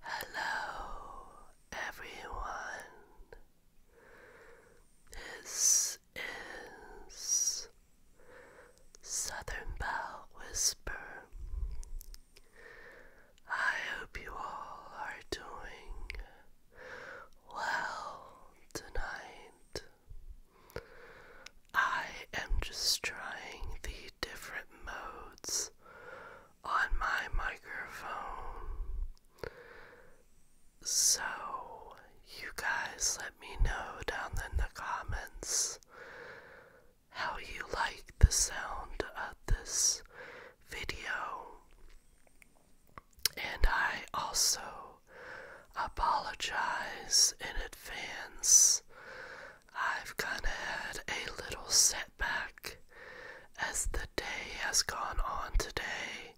Hello, everyone. This is Southern Bell Whisper. I hope you all are doing well tonight. I am just trying the different modes on my microphone. So, you guys let me know down in the comments how you like the sound of this video. And I also apologize in advance I've kind of had a little setback as the day has gone on today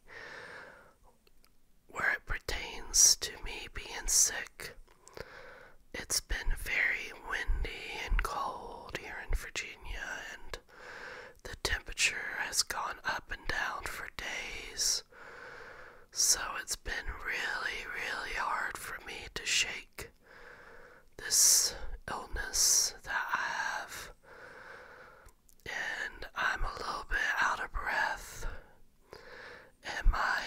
where it pertains to me being sick. It's been very windy and cold here in Virginia, and the temperature has gone up and down for days. So it's been really, really hard for me to shake this illness that I have, and I'm a little bit out of breath, and my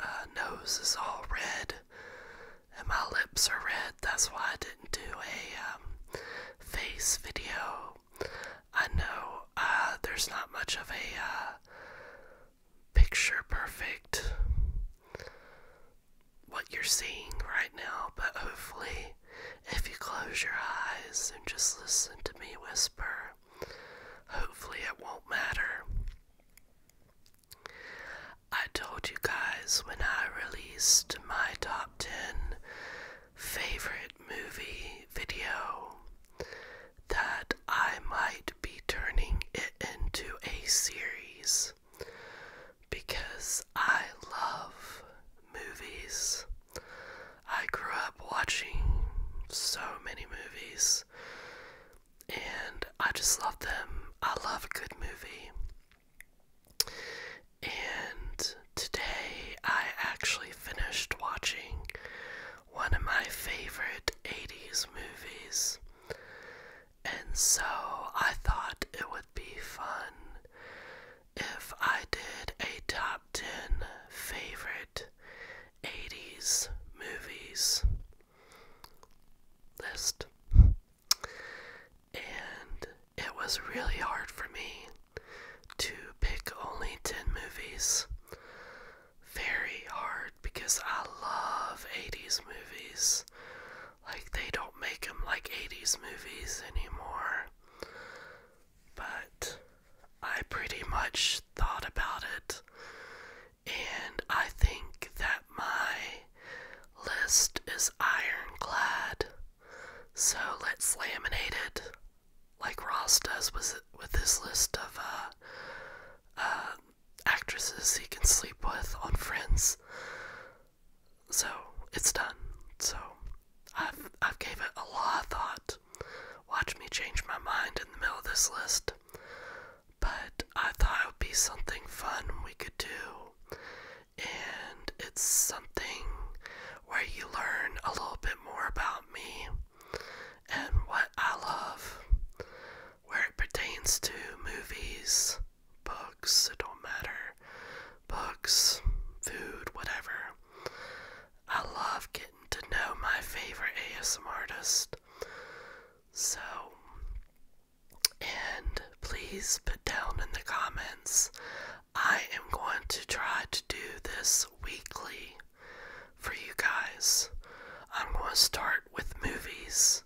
uh, nose is all red, and my lips are red. That's why I didn't do a um, face video. I know uh, there's not much of a uh, picture perfect what you're seeing right now, but hopefully, if you close your eyes and just listen to me whisper, hopefully it won't matter. I told you guys when I released my top 10 favorite movie video that I might be turning it into a series because I love movies. I grew up watching so many movies and I just love them. I love a good movie. And today I actually finished watching one of my favorite 80s movies. And so I thought it would be fun if I did a top 10 favorite 80s movies list. And it was really hard for me to pick only 10 movies. Very hard because I love 80s movies. Like, they don't make them like 80s movies anymore. But I pretty much thought about it, and I think that my list is ironclad. So let's laminate it like Ross does with, with his list of uh, uh, actresses he can sleep with on Friends. So it's done. So I've I've gave it a lot of thought. Watch me change my mind in the middle of this list. But I thought it would be something fun we could do. And it's something where you learn a little bit more about me and what I love, where it pertains to movies, books, it don't matter. Books, food, whatever. I love getting to know my favorite ASM artist. So, and please put down in the comments. I am going to try to do this weekly for you guys. I'm going to start with movies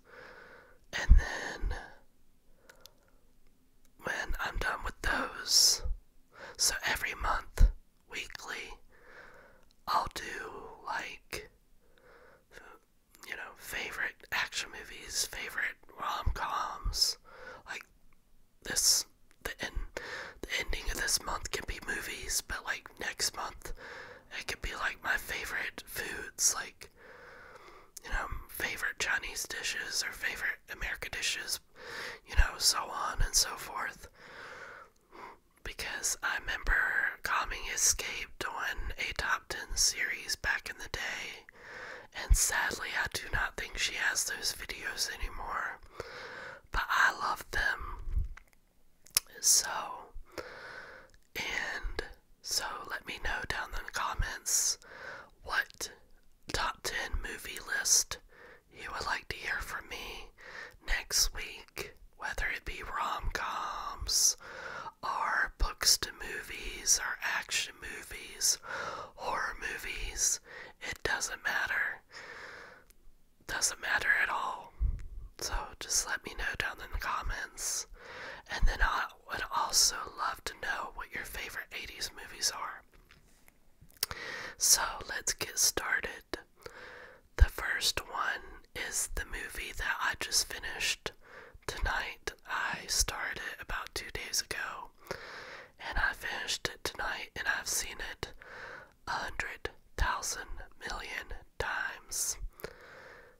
and then when I'm done with those. So every month, weekly, I'll do like, you know, favorite action movies, favorite rom coms. Like this, the, end, the ending of this month can be movies, but like next month, it can be like my favorite foods, like you know favorite Chinese dishes or favorite American dishes, you know, so on and so forth. Because I remember coming escaped on a top 10 series back in the day, and sadly, I do not think she has those videos anymore. But I love them. So, and so let me know down in the comments what top 10 movie list you would like to hear from me next week, whether it be rom coms or books to movies or action movies, horror movies. It doesn't matter. Doesn't matter at all. So just let me know down in the comments. And then I will would also love to know what your favorite 80s movies are. So let's get started. The first one is the movie that I just finished tonight. I started about two days ago and I finished it tonight and I've seen it a hundred thousand million times.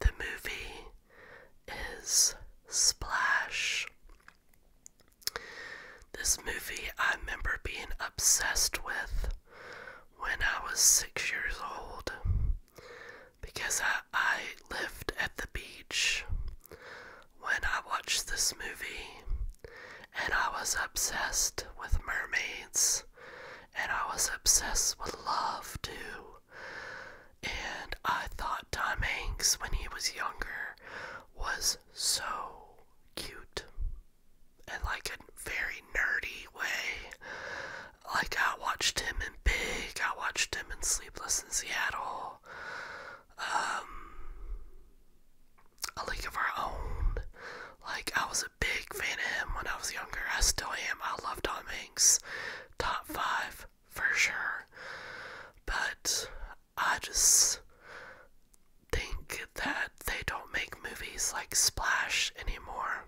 The movie is Splash. This movie I remember being obsessed with when I was six years old because I, I lived at the beach when I watched this movie and I was obsessed with mermaids. And I was obsessed with love too. And I thought Tom Hanks, when he was younger, was so cute. In like a very nerdy way. Like, I watched him in Big, I watched him in Sleepless in Seattle, um, A League of Our Own. Like, I was big fan of him when I was younger. I still am. I love Tom Hanks. Top five for sure. But I just think that they don't make movies like Splash anymore.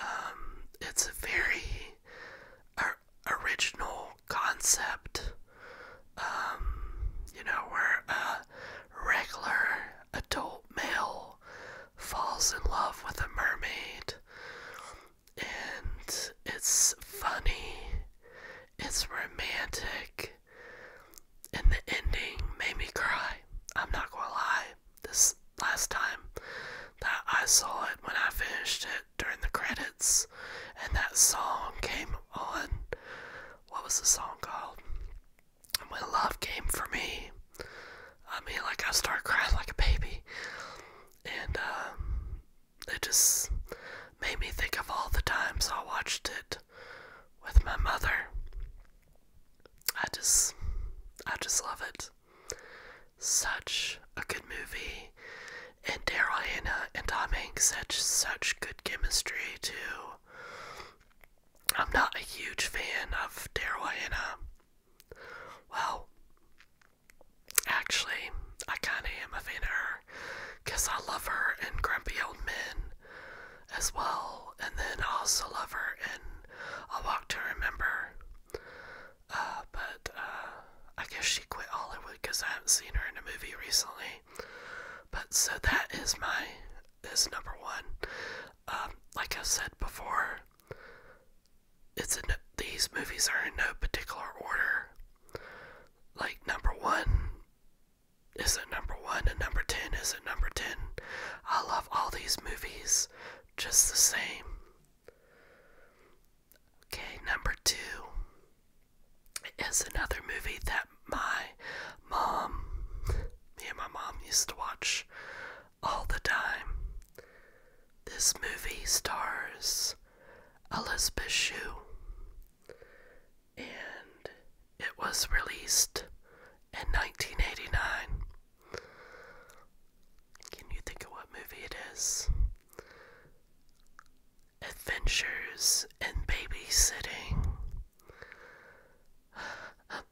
Um, it's a very original concept. Um, you know, where a regular adult male falls in love with a mermaid. And it's funny, it's romantic, and the ending made me cry. I'm not gonna lie, this last time that I saw it when I finished it during the credits, and that song came on. What was the song called? When Love Came For Me. I mean, like, I start crying like a baby. And, um, it just made me think of all the times I watched it with my mother. I just, I just love it. Such a good movie. And Daryl Hannah and Tom Hanks such such good chemistry, too. I'm not a huge fan of Daryl Hannah. Well, actually, I kind of am a fan of her because I love her and Grumpy Old Men as well, and then also love her and A Walk to Remember. Uh, but uh, I guess she quit Hollywood because I haven't seen her in a movie recently. But so that is my is number one. Um, like I said before, it's in, these movies are in no particular order. Like number one isn't number one, and number ten isn't number ten. I love all these movies just the same. Okay, number two is another movie that my mom, me and my mom used to watch all the time. This movie stars Elizabeth Shue and it was released in 1989. Can you think of what movie it is? Adventures in Babysitting.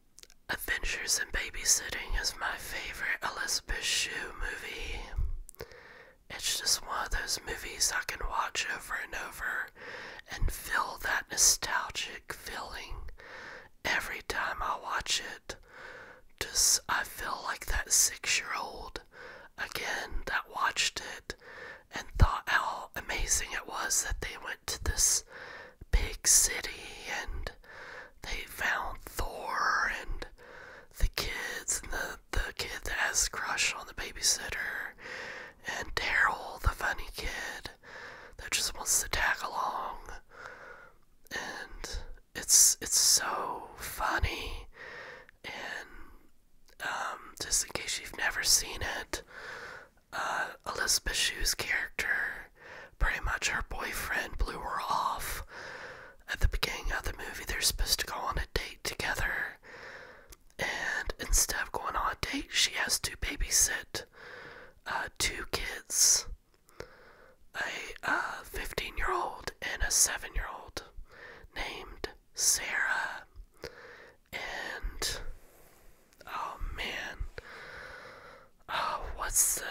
Adventures in Babysitting is my favorite Elizabeth Shue movie. It's just one of those movies I can watch over and over and feel that nostalgic feeling every time I watch it. Just, I feel like that six year old again that watched it and thought how amazing it was that they went to this big city and they found Thor and the kids and the the kid that has a crush on the babysitter and Daryl, the funny kid that just wants to tag along. And it's it's so funny and um, just in case you've never seen it, uh, Elizabeth Shue's character Pretty much her boyfriend blew her off. At the beginning of the movie, they're supposed to go on a date together. And instead of going on a date, she has to babysit uh, two kids a uh, 15 year old and a 7 year old named Sarah. And oh man, uh, what's the?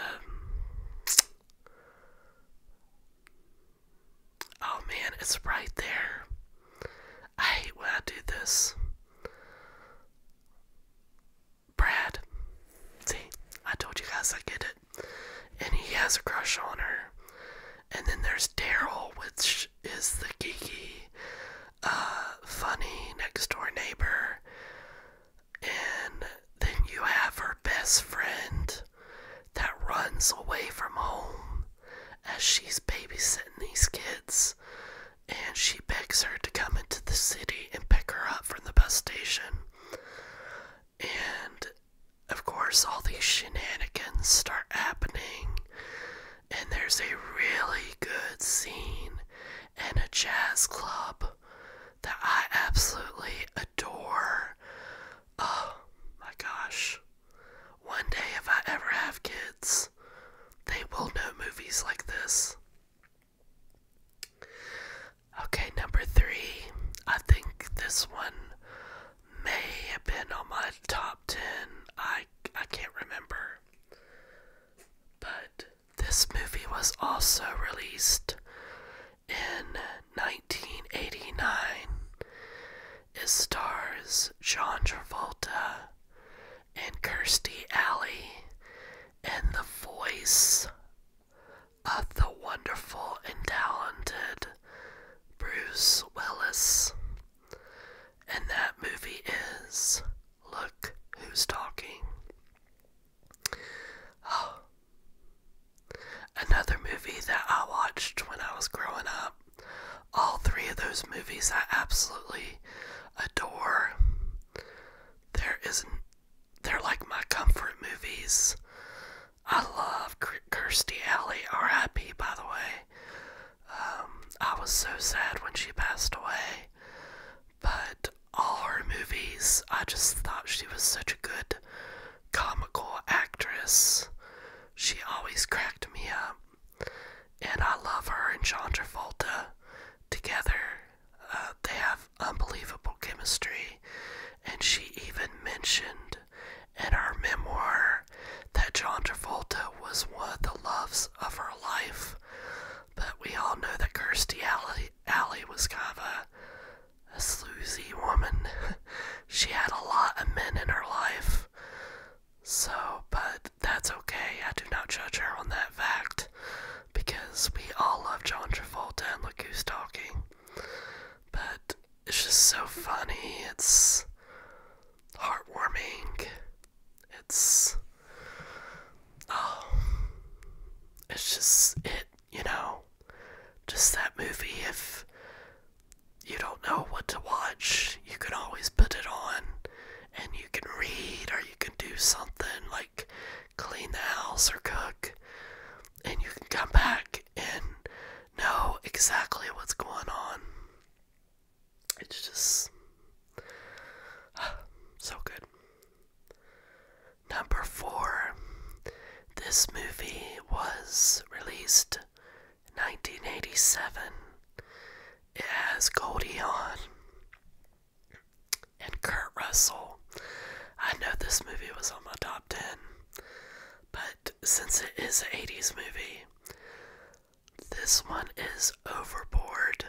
Oh man, it's right there. I hate when I do this. Brad. See, I told you guys I get it. And he has a crush on her. And then there's Daryl, which is the geeky, uh, funny next door neighbor. And then you have her best friend that runs away from home as she's babysitting these kids. And she begs her to come into the city and pick her up from the bus station. And of course, all these shenanigans start happening. And there's a really good scene in a jazz club that I absolutely adore. Oh my gosh. One day, if I ever have kids, they will know movies like this. Okay, number three. I think this one may have been on my top ten. I I can't remember. But this movie was also released in 1989. It stars John Travolta and Kirstie Alley and the voice of the wonderful and talented Bruce Willis. And that movie is Look Who's Talking. Oh, Another movie that I watched when I was growing up. All three of those movies I absolutely adore. There isn't they're like my comfort movies. I love Kirstie Alley, R.I.P. by the way. Um, I was so sad when she passed away, but all her movies. I just thought she was such a good comical actress. She always cracked me up. And I love her and John Travolta together. Uh, they have unbelievable chemistry. And she even mentioned in her memoir that John Travolta was one of the loves of her life. But we all know that Kirstie Alley, Alley was kind of a a sleazy woman. she had a lot of men in her life. So, but that's okay. I do not judge her on that fact because we all love John Travolta and Look Who's Talking. But it's just so funny. It's heartwarming. It's. Oh. It's just. It you know, just that movie. If you don't know what to watch, you can always put it on and you can read or you can do something like clean the house or cook, and you can come back and know exactly what's going on. It's just so good. Number four, this movie was released in 1987. It has Goldie Hawn and Kurt Russell. I know this movie was on my top 10, but since it is an 80s movie, this one is overboard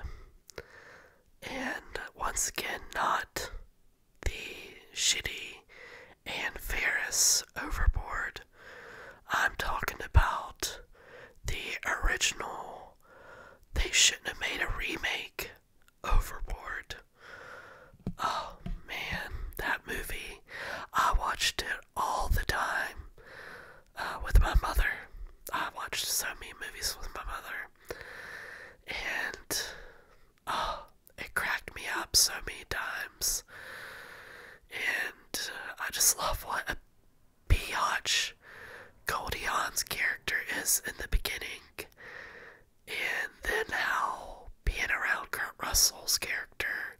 and once again not the shitty and Ferris overboard. I'm talking about the original. They shouldn't have made a remake. Overboard. Oh man, that movie. I watched it all the time uh, with my mother. I watched so many movies with my mother. And oh, it cracked me up so many times. And uh, I just love what a biatch Goldie Hawn's character is in the beginning. And then how being around Kurt Russell's character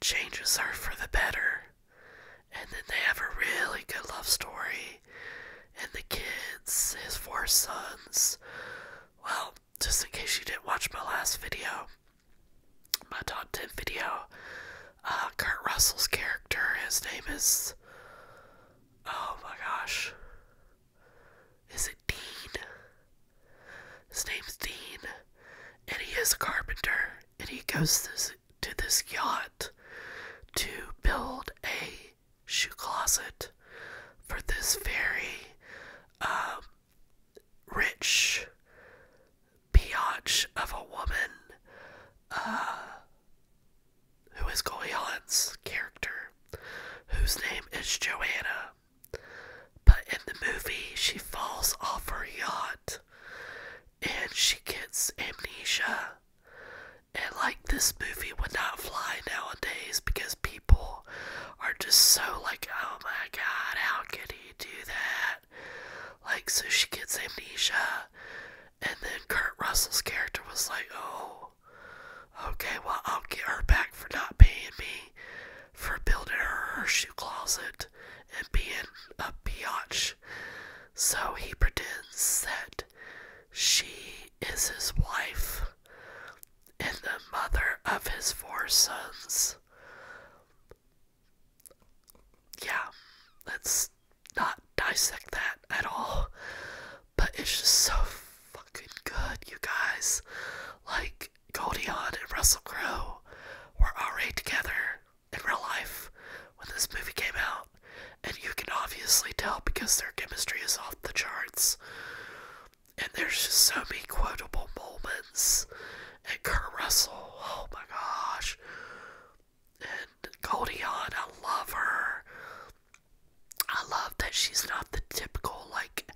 changes her for the better. And then they have a really good love story. And the kids, his four sons, well, just in case you didn't watch my last video, my top 10 video, uh, Kurt Russell's character, his name is. Oh my gosh. Is it Dean? His name's Dean, and he is a carpenter, and he goes to this yacht to build a shoe closet for this very um, rich biatch of a woman uh, who is Goleon's character, whose name is Joanna. But in the movie, she falls off her yacht and she gets amnesia and this movie would not fly nowadays because people are just so like, oh my god, how could he do that? Like, so she gets amnesia, and then Kurt Russell's character was like, oh, okay, well, I'll get her back for not paying me for building her, her shoe closet and being a biatch. So he pretends that she is his wife and the mother of his four sons. Yeah, let's not dissect that at all. But it's just so fucking good, you guys. Like, Goldie Hawn and Russell Crowe were already together in real life when this movie came out. And you can obviously tell because their chemistry is off the charts and there's just so many quotable moments. And Kurt Russell, oh my gosh. And Goldie Hawn, I love her. I love that she's not the typical, like,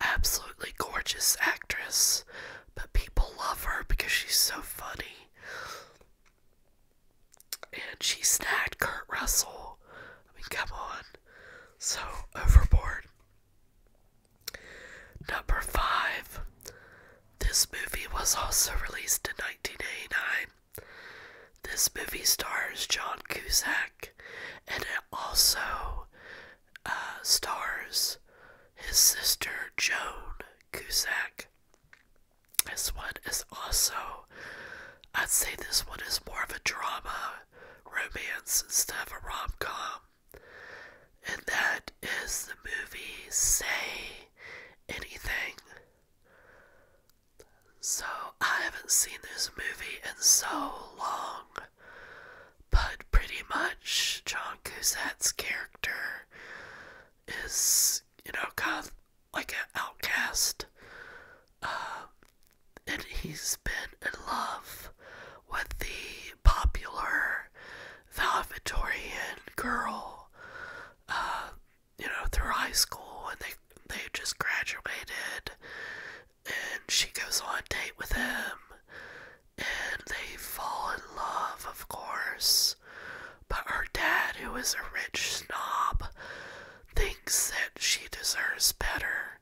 absolutely gorgeous actress, but people love her because she's so funny. And she snagged Kurt Russell. I mean, come on. So, Overboard. Number 5. This movie was also released in 1989. This movie stars John Cusack and it also uh, stars his sister Joan Cusack. This one is also, I'd say this one is more of a drama romance instead of a rom com. And that is the movie Say Anything. So, I haven't seen this movie in so long, but pretty much John Cousette's character is, you know, kind of like an outcast. Um, and he's been in love with the popular Valvatorian girl, uh, you know, through high school, and they they just graduated, and she goes on a date with him, and they fall in love, of course. But her dad, who is a rich snob, thinks that she deserves better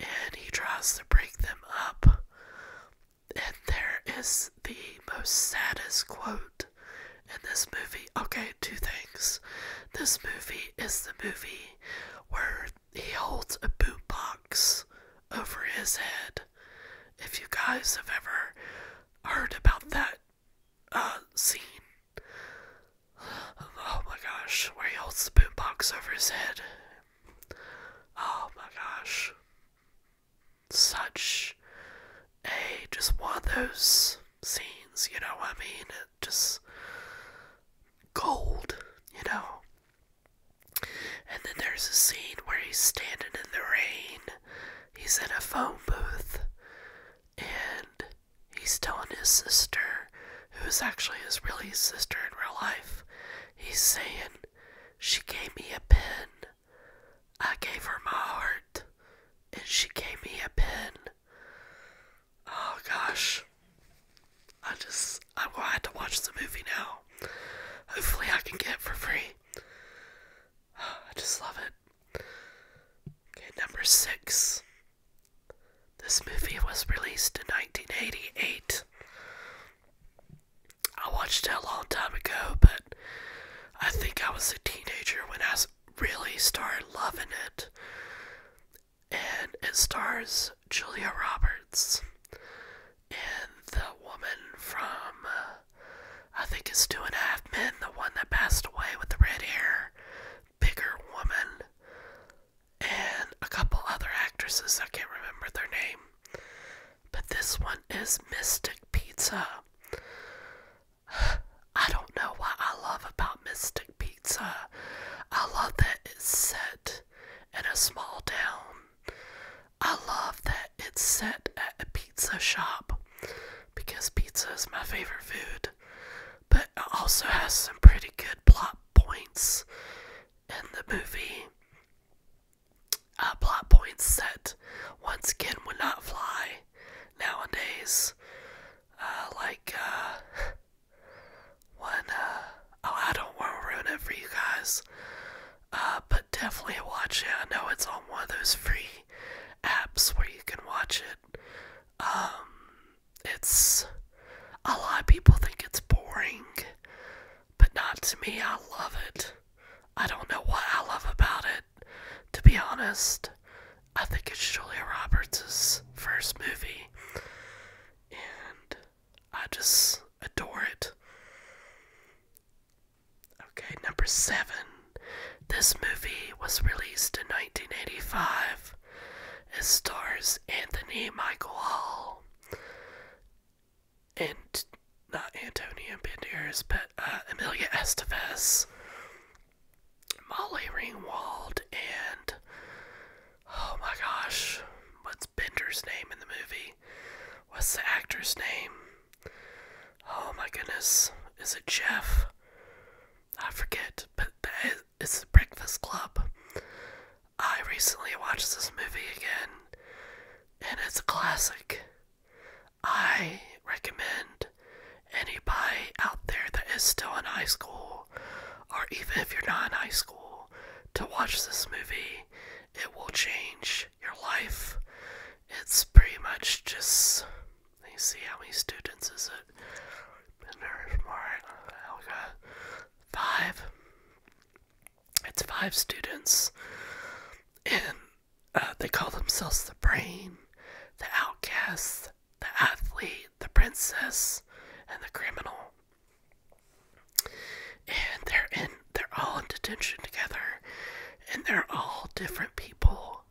and he tries to break them up. And there is the most saddest quote in this movie. Okay, two things. This movie is the movie where he holds a boot box over his head. If you guys have ever heard about that uh, scene, Oh my gosh, where he holds the boombox over his head. Oh my gosh. Such a just one of those scenes, you know what I mean? It just gold, you know. And then there's a scene where he's standing in the rain. He's in a phone booth and He's telling his sister, who's actually his really sister in real life, he's saying, She gave me a pin. I gave her my heart, and she gave me a pin." Oh gosh. I just, I'm glad to watch the movie now. Hopefully, I can get it for free. I just love it. Okay, number six. This movie was released in 1988. I watched it a long time ago, but I think I was a teenager when I really started loving it. And it stars Julia Roberts and the woman from, I think it's Two and a Half Men, the one that passed away with the red hair, bigger woman and a couple other actresses. I can't remember their name. But this one is Mystic Pizza. I don't know what I love about Mystic Pizza. I love that it's set in a small town. I love that it's set at a pizza shop because pizza is my favorite food. But it also has some pretty good plot points in the movie. Uh, plot points set once again would not fly nowadays. Uh, like, uh, one, uh, oh, I don't want to ruin it for you guys. Uh, but definitely watch it. I know it's on one of those free apps where you can watch it. Um, it's a lot of people think it's boring, but not to me. I love it. I don't know what I love about it, to be honest. I think it's Julia Roberts' first movie, and I just adore it. Okay, number seven. This movie was released in 1985. It stars Anthony Michael Hall and not Antonia Banderas, but uh, Emilia Amelia Molly Ringwald, and oh my gosh, what's Bender's name in the movie? What's the actor's name? Oh my goodness, is it Jeff? I forget, but that is, it's Breakfast Club. I recently watched this movie again, and it's a classic. I recommend anybody out there that is still in high school, or even if you're not in high school, to watch this movie. It will change your life. It's pretty much just. Let me see how many students is it? Five. It's five students, and uh, they call themselves the Brain, the Outcast, the Athlete, the Princess, and the Criminal. And they're in, they're all in detention together, and they're all different people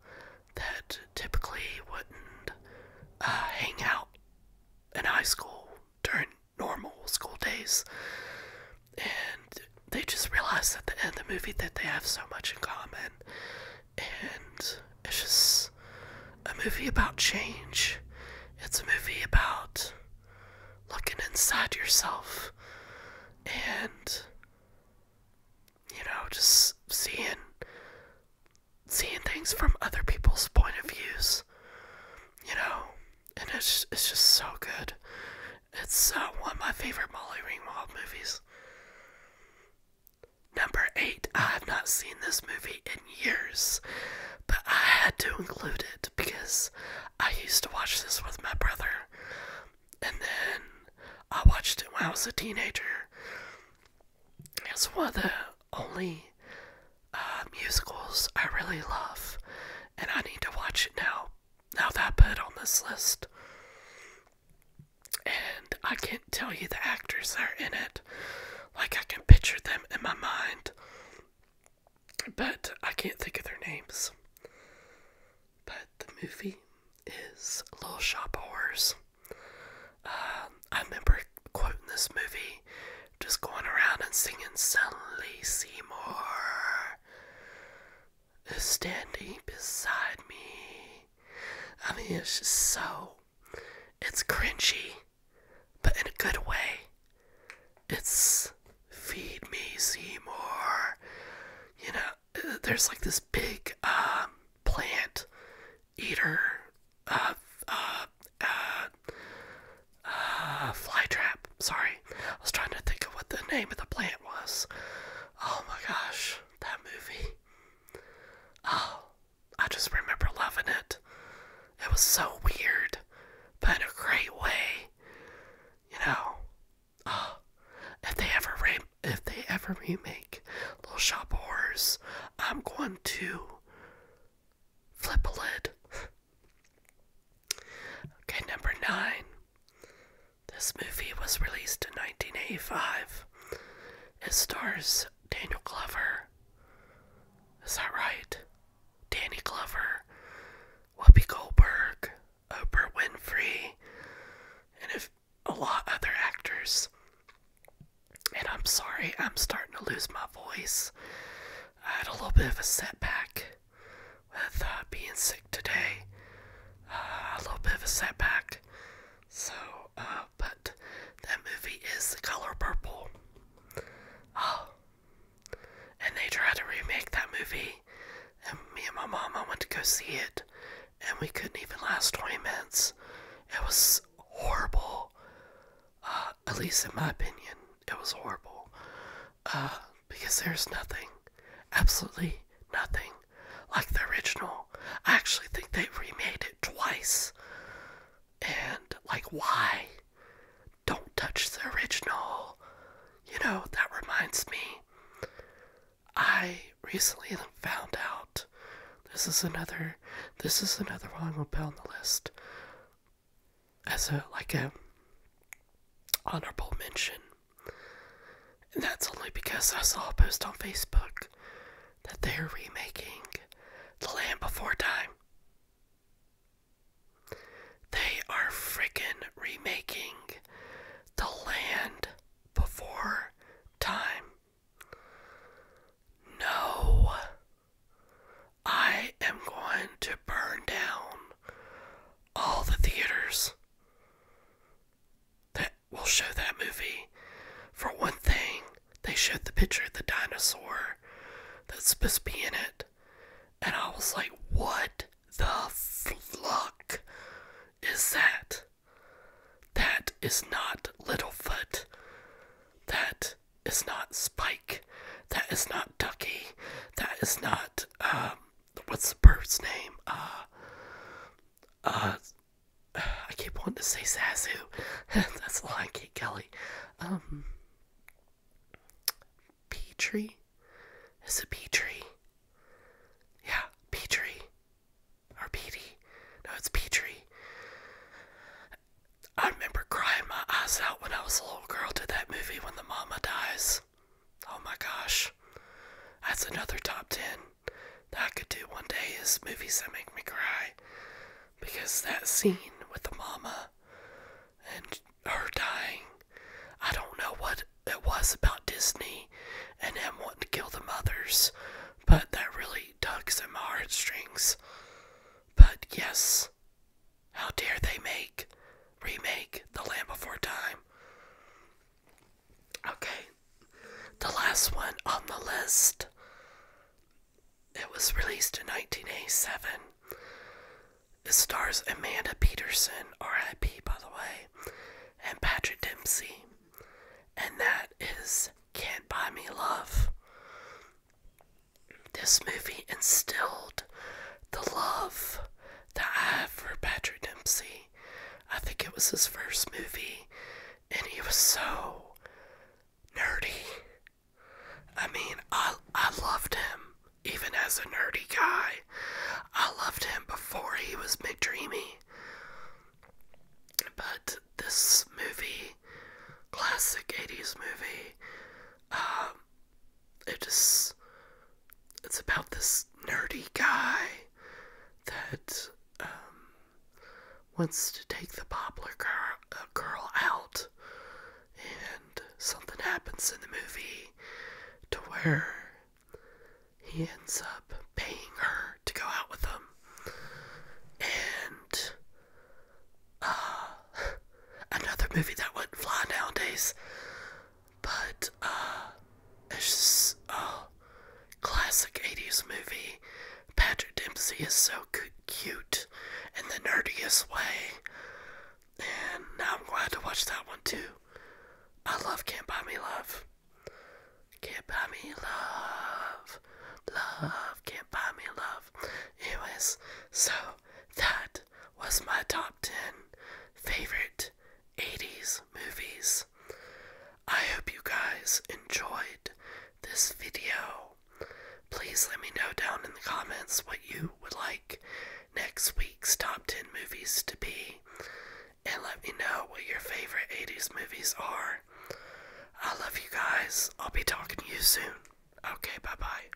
that typically wouldn't uh, hang out in high school during normal school days. And they just realize at the end of the movie that they have so much in common. And it's just a movie about change. It's a movie about looking inside yourself and you know just seeing seeing things from other people's point of views you know, and it's it's just so good. It's one of my favorite Molly Ringwald movies. Number eight, I have not seen this movie in years, but I had to include it because I used to watch this with my brother, and then I watched it when I was a teenager. It's one of the only uh, musicals I really love, and I need to watch it now. Now that I put on this list, and I can't tell you the actors are in it. Like I can picture them in my mind, but I can't think of their names. But the movie is Little Shop of Horrors. Uh, I remember quoting this movie, just going around and singing Suddenly Seymour is standing beside me. I mean, it's just so. It's cringy, but in a good way. It's feed me, Seymour. You know, there's like this big um, plant eater uh, uh, uh, uh, fly trap. Sorry, I was trying to think of what the name of the plant was. Oh my gosh, that movie. Oh, I just remember loving it. It was so weird, but in a great way. You know, oh, if they ever re if they ever remake Little Shop of Horrors, I'm going to Flip a lid. okay, number nine. This movie was released in 1985. It stars Daniel Glover. Is that right? Danny Glover, Whoopi Goldberg, Oprah Winfrey, and a lot other actors. And I'm sorry, I'm starting to lose my voice. I had a little bit of a setback with uh, being sick today. Uh, a little bit of a setback. So, uh, but that movie is The Color Purple. Oh. And they tried to remake that movie. And me and my mama went to go see it. And we couldn't even last 20 minutes. It was horrible at least in my opinion, it was horrible. Uh, because there's nothing, absolutely nothing, like the original. I actually think they remade it twice. And, like, why? Don't touch the original. You know, that reminds me. I recently found out this is another this is another one we'll put on the list as a like a honorable mention. And that's only because I saw a post on Facebook that they're remaking The Land Before Time. They are freaking remaking The Land Before Time. No. I am going to burn down all the theaters that will show that movie. For one thing, they showed the picture of the dinosaur that's supposed to be in it. And I was like, what the fuck is that? That is not Littlefoot. That is not Spike. That is not Ducky. That is not um what's the bird's name? Uh uh I keep wanting to say Zazu. That's Lion King Kelly. Um Petrie? Is it Petrie? Yeah, Petrie. Or Petey. No, it's Petrie. I remember crying my eyes out when I was a little girl to that movie when the mama dies. Oh my gosh. That's another top 10 that I could do one day is movies that make me cry. Because that scene with the mama and her dying, I don't know what it was about Disney and them wanting to kill the mothers, but that really tugs at my heartstrings. But yes, how dare they make, remake The Land Before Time? Okay, the last one on the list. It was released in 1987. It stars Amanda Peterson, RIP by the way, and Patrick Dempsey. And that is Can't Buy Me Love. This movie instilled the love that I have for Patrick Dempsey. I think it was his first movie, and he was so nerdy. I mean, I, I loved him, even as a nerdy guy. I loved him before he was McDreamy. But this movie, classic 80s movie, um, it just it's about this nerdy guy that um, wants to take the popular girl, uh, girl out and something happens in the movie to where he ends up paying her to go out with him and uh, another movie that wouldn't fly nowadays. But uh, it's a uh, classic 80s movie. Patrick Dempsey is so cute in the nerdiest way. And now I'm glad to watch that one too. I love Can't Buy Me Love. Can't Buy Me Love. Love. Can't Buy Me Love. Anyways, so that was my top 10 favorite 80s movies. I hope you guys enjoyed this video. Please let me know down in the comments what you would like next week's top 10 movies to be. And let me know what your favorite 80s movies are. I love you guys. I'll be talking to you soon. Okay, bye bye.